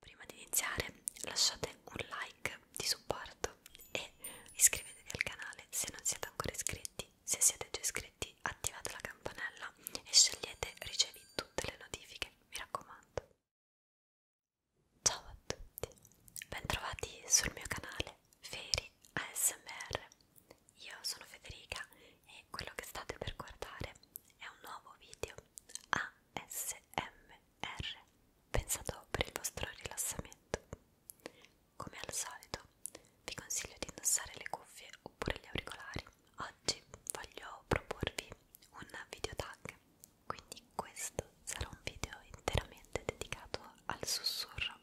Prima di iniziare lasciate un like di supporto e iscrivetevi al canale se non siete ancora iscritti, se siete già iscritti attivate la campanella e scegliete ricevi tutte le notifiche, mi raccomando. Ciao a tutti, bentrovati sul mio canale Feri ASMR. Io sono Federica e quello che state per guardare è un nuovo video ASMR pensato per il vostro rilassamento. Come al solito, vi consiglio di indossare le cuffie oppure gli auricolari. Oggi voglio proporvi un video tag, quindi questo sarà un video interamente dedicato al sussurro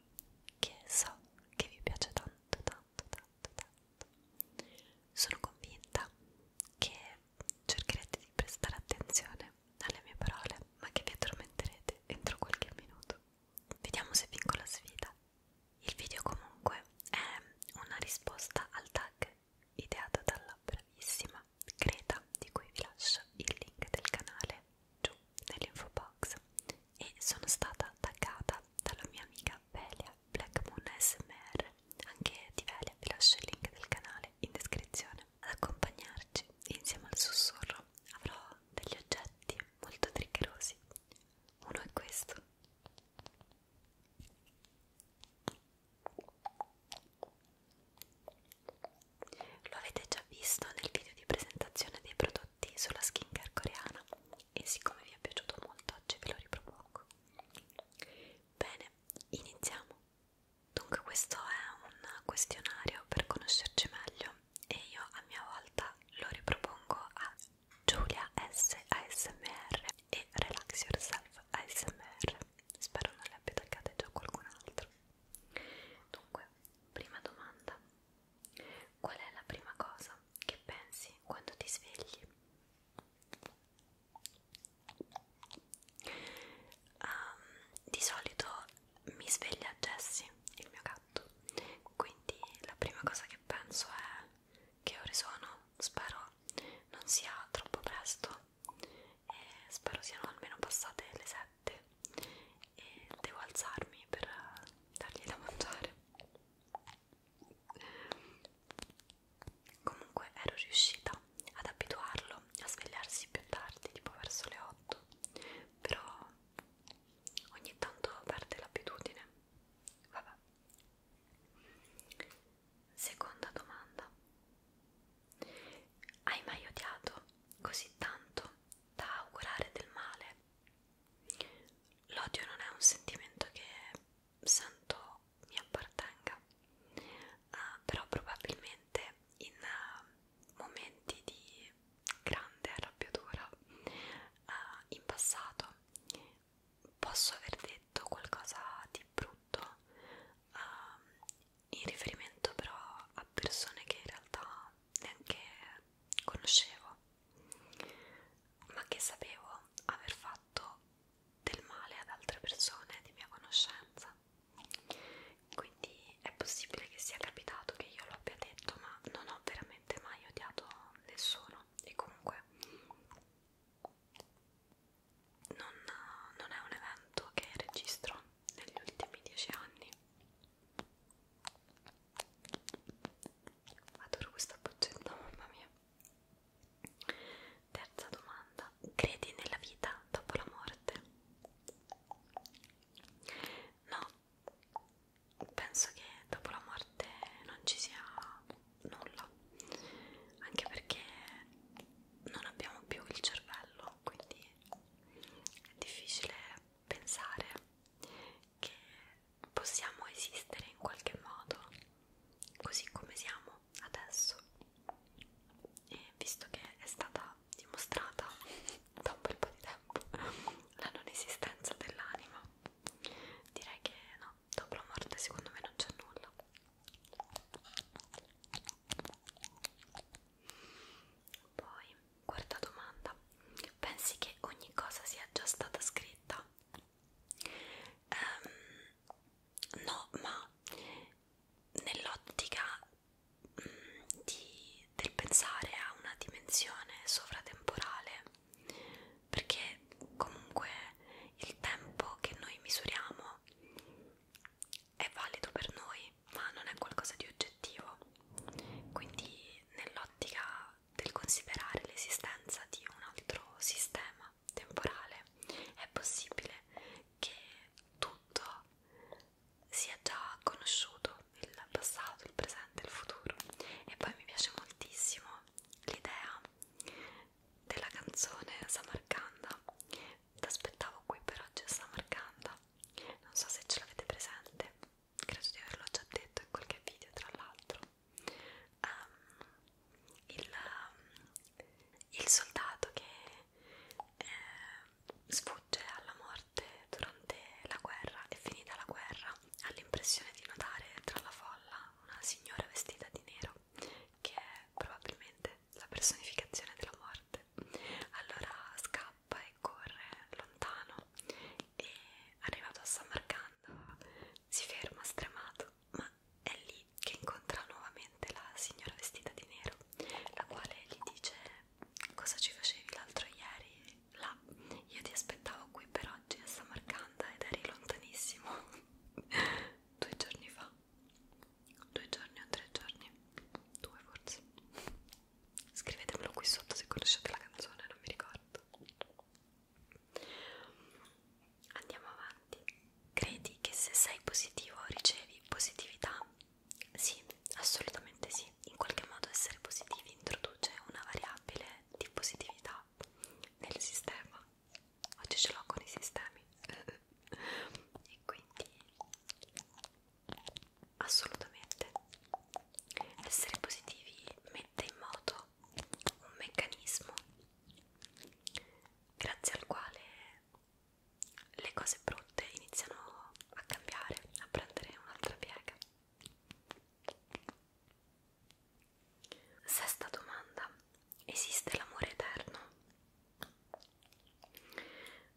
che so che vi piace tanto tanto tanto tanto. Sono convinta che cercherete di prestare attenzione alle mie parole, ma che vi addormenterete entro qualche minuto. Vediamo se vinco la sfida. Il video comunque è una risposta al tag ideata dalla bravissima Greta, di cui vi lascio il link del canale giù nell'info box, e sono stata taggata dalla mia amica Velia Blackmoon SMR, anche di Velia vi lascio il link del canale in descrizione. Ad accompagnarci insieme al sussurro avrò degli oggetti molto triggerosi. Uno è questo lo avete già visto nel video di presentazione dei prodotti sulla skincare coreana e siccome vi è piaciuto molto oggi ve lo ripropongo. Bene, iniziamo. Dunque questo è un questionario per conoscerci meglio e io a mia volta lo ripropongo a Giulia S ASMR e e Relax Yourself ASMR. Spero non le abbia taggate già qualcun altro. Dunque, prima domanda: qual è la prima cosa che pensi quando ti svegli? Um, di solito mi sveglia Jessie, il mio gatto, quindi la prima cosa che penso è che ore sono, spero non sia troppo presto e spero siano almeno passate le 7 e devo alzarmi per dargli da mangiare comunque ero riuscita ad abituarlo a svegliarsi più tardi tipo verso le 8 però ogni tanto perde l'abitudine vabbè Seconda domanda. Hai mai odiato così tanto da augurare del male? L'odio non è un sentimento che sento mi appartenga, uh, però probabilmente in uh, momenti di grande arrabbiatura uh, in passato posso aver detto qualcosa di brutto um, in riferimento però a persone che in realtà neanche conoscevo ma che sapevo aver fatto del male ad altre persone di mia conoscenza quindi è possibile che sia capitato che io lo abbia detto ma non ho veramente mai odiato nessuno e comunque non, non è un evento che registro negli ultimi dieci anni adoro questa boccetta mamma mia terza domanda credi nella vita dopo la morte? no penso che dopo la morte non ci sia nulla anche perché non abbiamo più il cervello quindi è difficile pensare che possiamo esistere in qualche modo così come siamo adesso e visto che è stata dimostrata da un bel po' di tempo la non esistenza dell'anima direi che no no, dopo la morte secondo me non c'è nulla poi, quarta domanda pensi che ogni cosa sia già stata scritta? Um, no, ma nell'ottica mm, del pensare a una dimensione sovratemporale perché comunque il tempo che noi misuriamo è valido per noi ma non è qualcosa di oggettivo quindi nell'ottica del considerare l'esistenza di un altro sistema temporale è possibile che tutto sia già conosciuto il passato, il presente, il futuro e poi mi piace moltissimo l'idea della canzone Samarcanda. T'aspettavo qui per oggi a Samarcanda. Non so se ce l'avete presente, credo di averlo già detto in qualche video tra l'altro. Um, il, um, il soldato che eh, sfugge alla morte durante la guerra e finita la guerra ha l'impressione di notare tra la folla una signora vestita di nero che è probabilmente la personificazione della morte. Allora scappa e corre lontano e arrivato a Samarcanda si ferma stremato, ma è lì che incontra nuovamente la signora vestita di nero, la quale gli dice cosa ci facevi l'altro ieri là, io ti aspettavo qui però oggi a Samarcanda ed eri lontanissimo due giorni fa due giorni o tre giorni due forse scrivetemelo qui sotto se conoscete la canzone non mi ricordo andiamo avanti credi che se sei positivo ricevi positività? sì assolutamente sì in qualche modo essere positivi introduce una variabile di positività nel sistema oggi ce l'ho con i sistemi e quindi assolutamente essere positivi mette in moto un meccanismo grazie al quale le cose brutte iniziano a cambiare, a prendere un'altra piega. Sesta domanda: esiste l'amore eterno?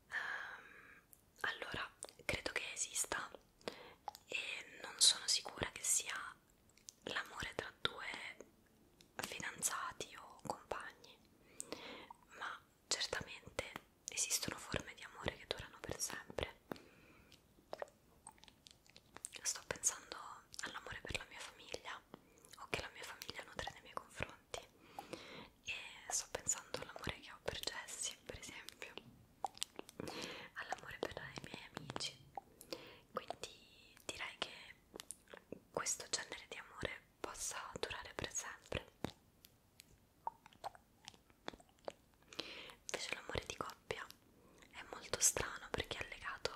Ehm, allora, credo che esista e non sono sicura che sia l'amore tra due fidanzati o compagni, ma certamente esistono forme di amore che durano per sempre sto pensando all'amore per la mia famiglia o che la mia famiglia nutre nei miei confronti e sto pensando all'amore che ho per Jessie per esempio all'amore per i miei amici quindi direi che questo genere di amore possa durare per sempre invece l'amore di coppia è molto strano perché è legato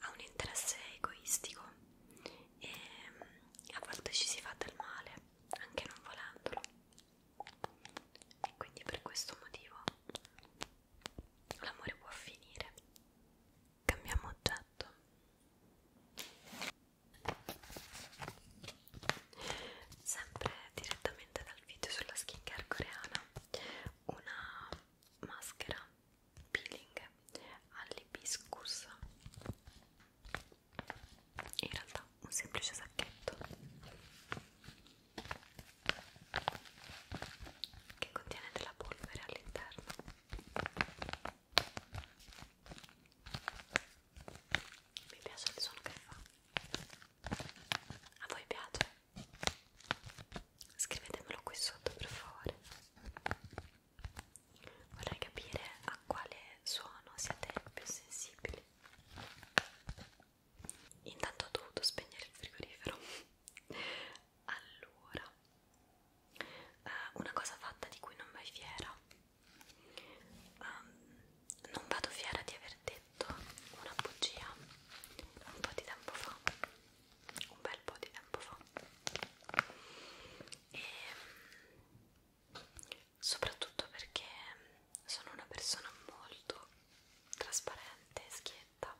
a un interesse egoistico e a volte ci si fa del male anche non volendolo. Quindi per questo motivo l'amore può finire. Cambiamo oggetto. Sempre direttamente dal video sulla skincare coreana, una maschera peeling all'ibiscus in realtà un semplice sacchetto che contiene della polvere all'interno mi piace il suono che fa a voi piace? scrivetemelo qui sotto per favore vorrei capire a quale suono siete più sensibili intanto ho dovuto spegnere il frigorifero allora Uh, una cosa fatta di cui non vai fiera um, non vado fiera di aver detto una bugia un po' di tempo fa un bel po' di tempo fa e ehm, soprattutto perché sono una persona molto trasparente e schietta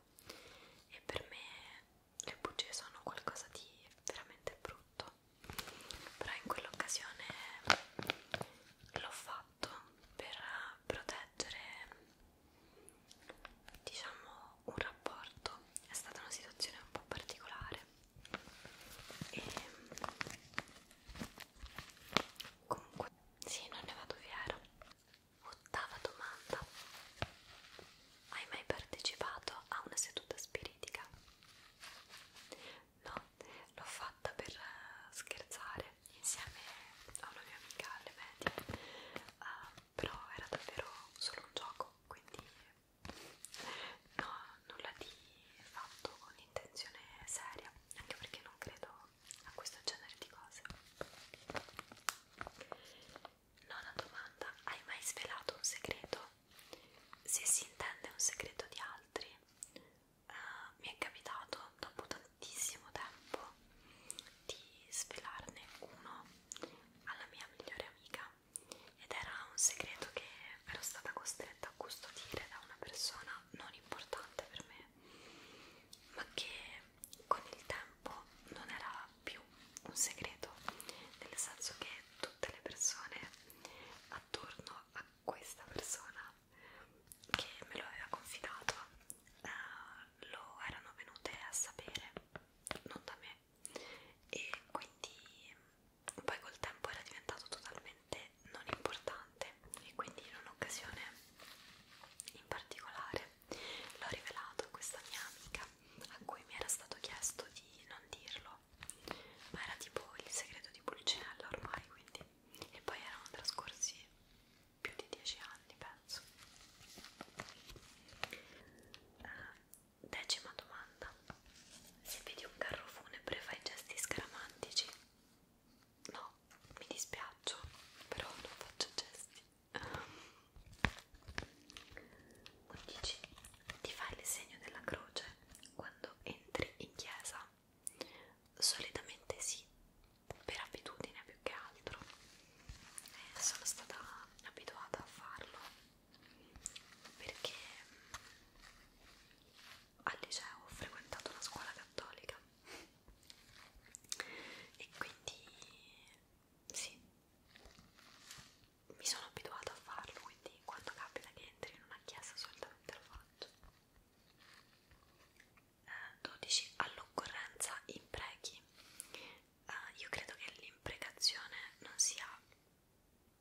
e per me le bugie sono qualcosa di veramente brutto però in quell'occasione l'ho fatto fatto per proteggere diciamo un rapporto è stata una situazione un po' particolare e comunque sì non ne vado fiera ottava domanda hai mai partecipato a una seduta spiritica? no l'ho fatta per scherzare Natale insieme a una mia amica alle medie uh, però era davvero solo un gioco quindi no, nulla di fatto con intenzione seria anche perché non credo a questo genere di cose nona domanda hai mai svelato un segreto? se si intende un segreto di altri Uh, mi è capitato dopo tantissimo tempo di svelarne uno alla mia migliore amica ed era un segreto che ero stata costretta a custodire da una persona non importante per me ma che con il tempo non era più un segreto nel senso che tutte le persone attorno a questa persona che me lo aveva confidato eh, lo erano venute a sapere non da me e quindi poi col tempo era diventato totalmente non importante e quindi in un'occasione in particolare l'ho rivelato a questa mia amica a cui mi era stato chiesto di non dirlo ma era tipo il segreto di Pulcinella ormai quindi e poi erano trascorsi più di 10 anni penso uh, decima domanda se vedi un carro funebre fai gesti scaramantici? no, mi dispiaccio però non faccio gesti uh, 11 ti fai il segno della croce quando entri in chiesa solitamente sì per abitudine più che altro eh, sono stata abituata a farlo perché mm, al liceo ho frequentato una scuola cattolica e quindi sì mi sono abituata a farlo quindi quando capita che entri in una chiesa solitamente lo faccio 12 all'occorrenza imprechi. Uh, eh, io credo che l'imprecazione non sia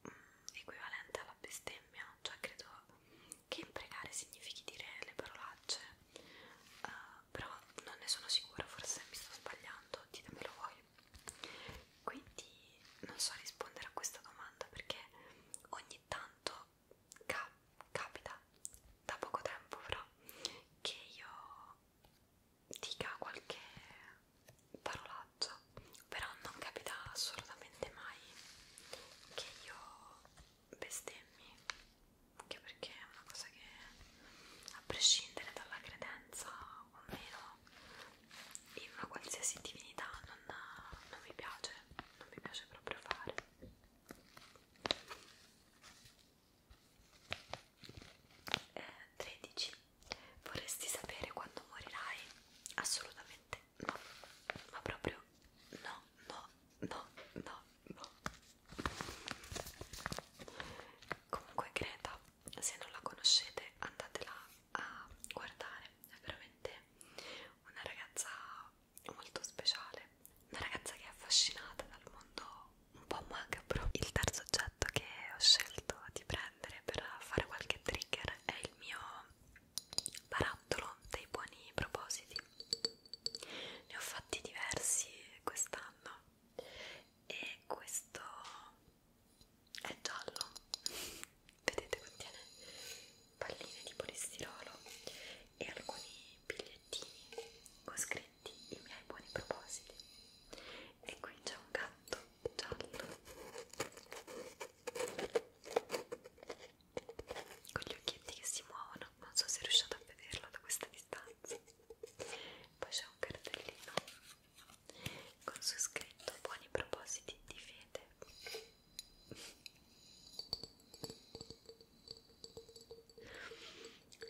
mm, equivalente alla bestemmia, cioè credo che imprecare significhi dire le parolacce, uh, però non ne sono sicura, forse mi sto sbagliando, ditemelo voi. Quindi non so rispondere a questa domanda perché ogni tanto capito, ca capita da poco tempo però che io dica qualche parolaccia, però non capita assolutamente mai che io bestemmi, anche perché è una cosa che a prescindere dalla credenza o meno in una qualsiasi divinità non, non mi piace, non mi piace proprio fare eh, 13. Vorresti sapere quando morirai? Assolutamente no, ma proprio no, no, no, no, no. Comunque Greta, se non la conoscete andatela a guardare, è veramente una ragazza molto speciale, una ragazza che è affascinata dal mondo un po' macabro. Il terzo oggetto che ho scelto di prendere per fare qualche trigger è il mio barattolo dei buoni propositi. Ne ho fatti diversi quest'anno e questo è giallo. Vedete, contiene palline di polistirolo e alcuni bigliettini con scritti i miei buoni propositi e qui c'è un gatto giallo con gli occhietti che si muovono non so se riuscite a vederlo da questa distanza poi c'è un cartellino con su scritto buoni propositi di fede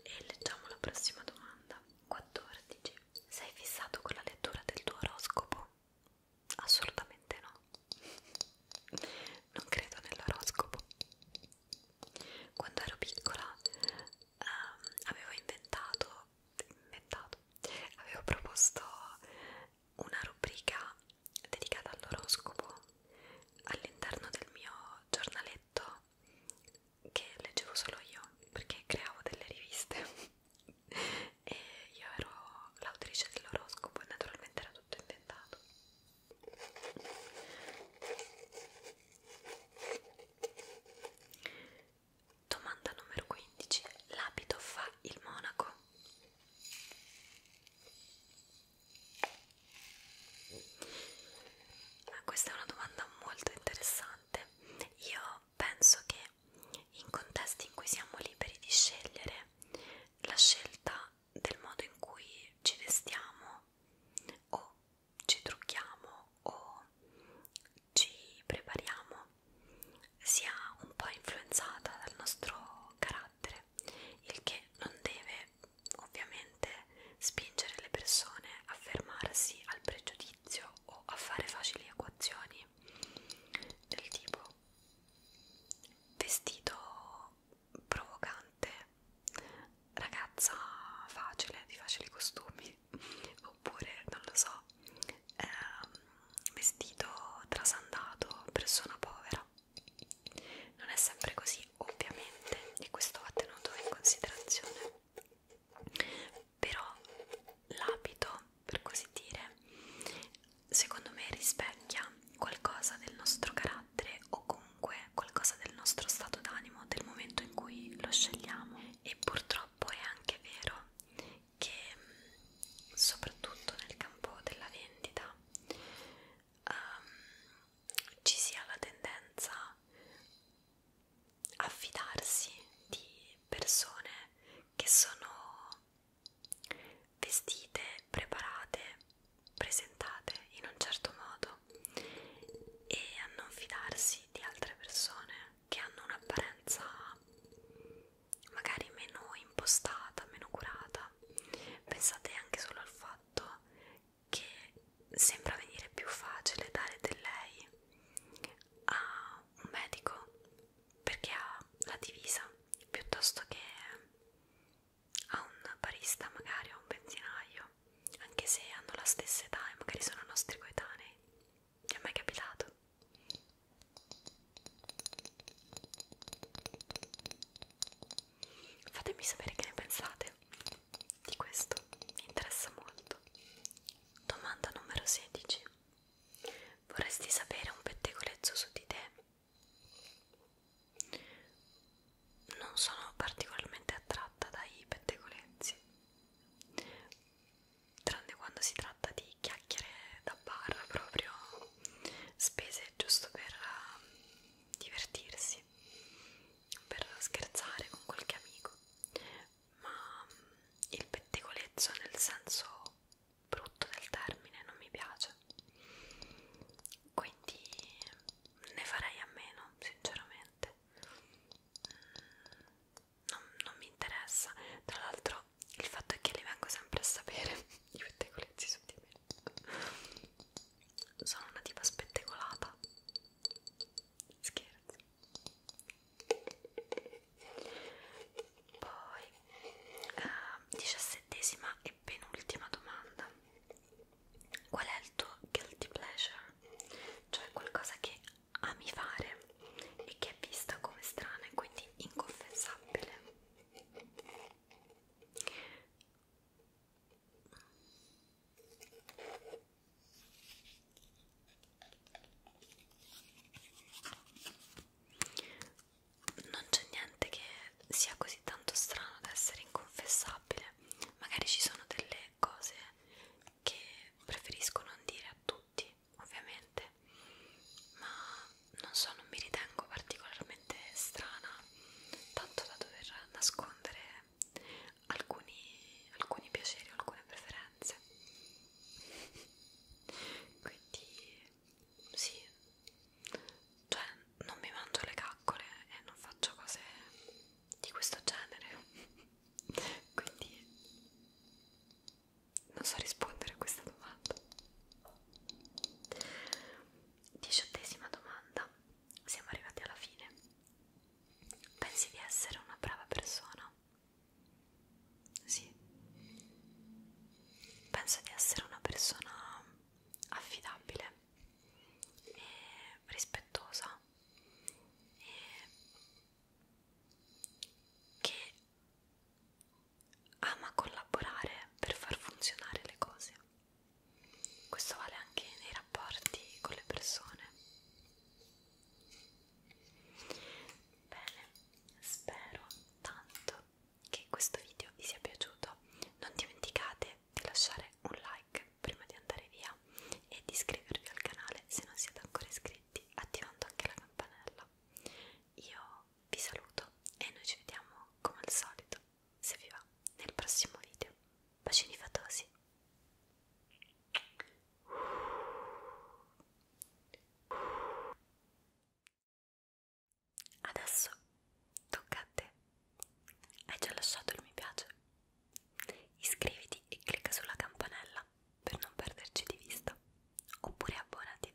e leggiamo la prossima domanda. 14. Sei fissato con la lettura del tuo oroscopo? Assolutamente no. Non credo nell'oroscopo. Quando ero piccola ehm, avevo inventato, inventato, avevo proposto una rubrica dedicata all'oroscopo all'interno del mio giornaletto che leggevo solo io perché creavo delle riviste e io ero l'autrice dell'oroscopo e naturalmente era tutto inventato domanda numero 15 l'abito fa il monaco ma questa è una domanda molto interessante. Io penso che in contesti in cui siamo liberi di scegliere, la scelta del modo in cui ci vestiamo o ci trucchiamo o ci prepariamo sia un po' influenzata dal nostro carattere il che non deve ovviamente spingere le persone a fermarsi al pregiudizio o a fare facili equazioni del tipo vestito provocante, ragazza facile, di facili costumi, oppure non lo so, ehm, vestito trasandato, persona povera. Non è sempre così, ovviamente, e questo va tenuto in considerazione. Però l'abito, per così dire, secondo me rispecchia qualcosa del nostro carattere o comunque qualcosa del nostro stato d'animo del momento in cui lo scegliamo. E purtroppo è anche vero che mm, soprattutto nel campo della vendita um, ci sia la tendenza a fidarsi di persone che sono vestite, preparate, presentate in un certo modo e a non fidarsi di altre persone che hanno un'apparenza magari meno impostata, meno curata vita pensate anche solo al fatto che sembra venire più facile dare del lei a un medico perché ha la divisa piuttosto che a un barista magari o a un benzinaio anche se hanno la stessa età e magari sono nostri coetanei ti è mai capitato? Fatemi sapere che ne pensate di questo, mi interessa molto. Domanda numero 16. Vorresti sapere un pettegolezzo su di te? Non sono particolarmente attratta dai pettegolezzi, tranne quando si tratta di chiacchiere da barra proprio spese giusto per uh, divertirsi, per scherzare con qualche amico, ma ehm, il pettegolezzo nel senso brutto del termine non mi piace, quindi ne farei a meno sinceramente, mm, non, non mi interessa, tra l'altro il fatto è che li vengo sempre a sapere i pettegolezzi su di me sono una tipa spettegolata scherzo poi eh, diciassettesima e penultima domanda qual è il tuo guilty pleasure? cioè qualcosa che ami fare e che è vista come strana e quindi inconfessabile non c'è niente che sia così tanto strano da essere inconfessabile, magari ci sono delle cose che preferisco non dire a tutti, ovviamente, ma non so, non mi ritengo particolarmente strana, tanto da dover nascondere alcuni, alcuni piaceri, alcune preferenze. Quindi, sì, cioè non mi mangio le caccole e non faccio cose di questo genere. Quindi, non so rispondere a questa domanda. Diciottesima domanda. Siamo arrivati alla fine. Pensi di essere una brava persona? Sì. Penso di essere una persona affidabile e rispettosa e che ama collaborare per far funzionare le cose. Questo vale anche nei rapporti con le persone. Bene, spero tanto che questo video vi sia piaciuto. Non dimenticate di lasciare un like prima di andare via e di iscrivervi al canale se non siete ancora iscritti, attivando anche la campanella. Io vi saluto e noi ci vediamo come al solito, se vi va, nel prossimo video. Bacini fatosi! Adesso tocca a te. Hai già lasciato il mi piace? Iscriviti e clicca sulla campanella per non perderci di vista. Oppure abbonati